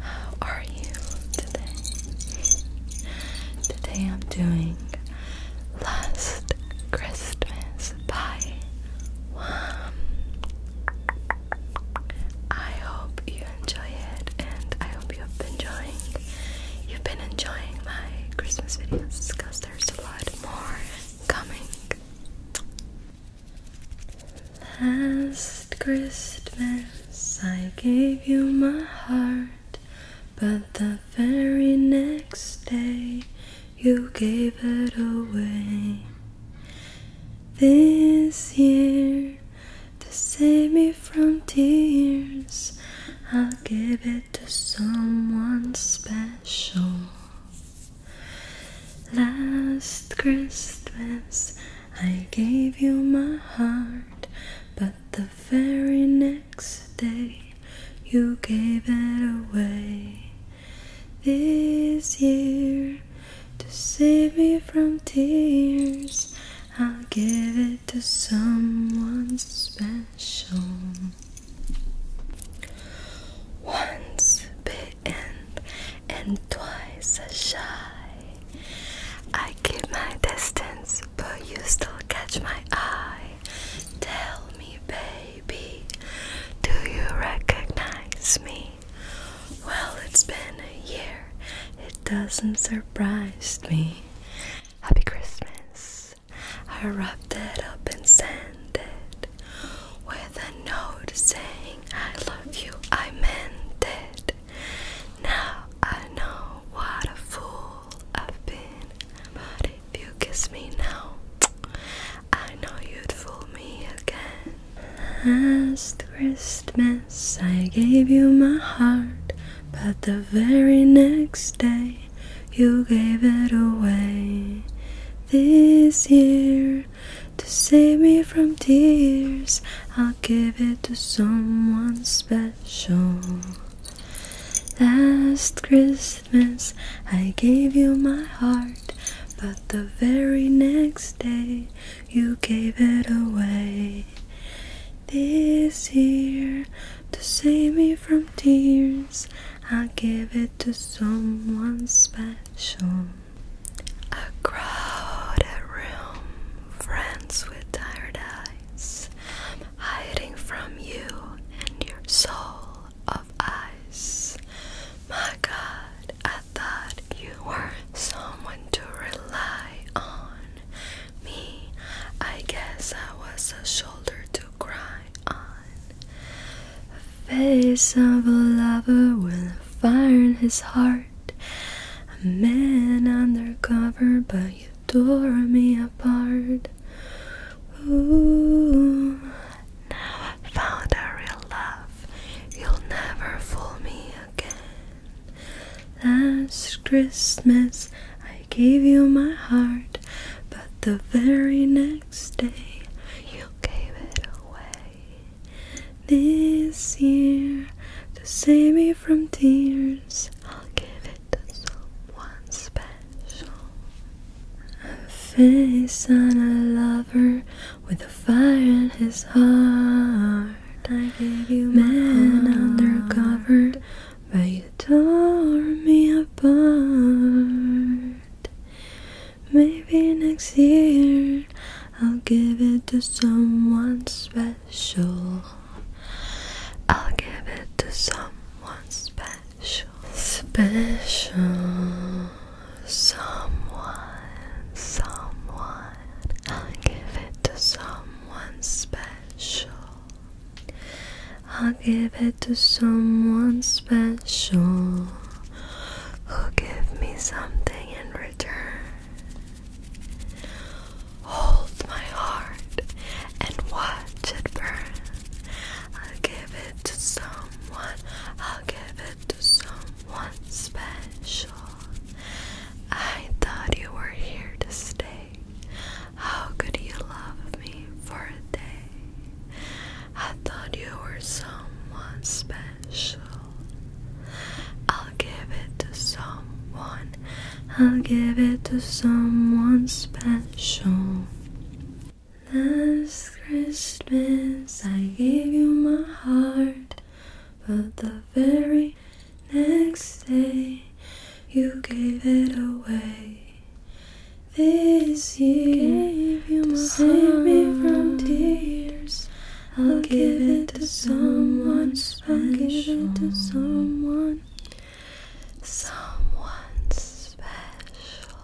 how are you today? Today I'm doing Last Christmas by Wham. Um, I hope you enjoy it and I hope you have been enjoying you've been enjoying my Christmas videos because Last Christmas, I gave you my heart, but the very next day, you gave it away. This year, to save me from tears, I give it to someone special. Last Christmas, I gave you my heart, but the very next day, you gave it away. This year, to save me from tears, I'll give it to someone special. Once bitten and twice as shy. I keep my distance, but you still catch my eye. Tell me, baby, do you recognize me? Well, it's been a year, it doesn't surprise me. Happy Christmas. I wrapped it up and sent it with a note saying, I love you, I meant it. Now I know what a fool I've been. But if you kiss me now, I know you'd fool me again. Last Christmas. Yes, I gave you my heart, but the very next day you gave it away. This year, to save me from tears, I'll give it to someone special. Last Christmas, I gave you my heart, but the very next day you gave it away. This year, to save me from tears, i give it to someone special. A crowded room, friends with tired eyes, hiding from you and your soul of ice. My God, I thought you were someone to rely on me. I guess I was a shoulder to cry on. Face of a lover with a fire in his heart. A man undercover, but you tore me apart. Ooh, now I found a real love. You'll never fool me again. Last Christmas I gave you my heart, but the very next day you gave it away. This year, to save me from tears, I'll give it to someone special. A face and a lover with a fire in his heart. I gave you man undercover, but you tore me apart. Maybe next year I'll give it to someone special. I'll give it to someone special. Special someone, someone. I'll give it to someone special. I'll give it to someone special who'll give me something in return. Hold my heart and watch it burn. I'll give it to someone. I'll give it to someone special. I thought you were here to stay. How could you love me for a day? I thought you were someone special. I'll give it to someone. I'll give it to someone special. This Christmas I gave you my heart, but the very next day you gave it away. This year, gave you to save me from tears, I'll give it to someone special. someone, someone special.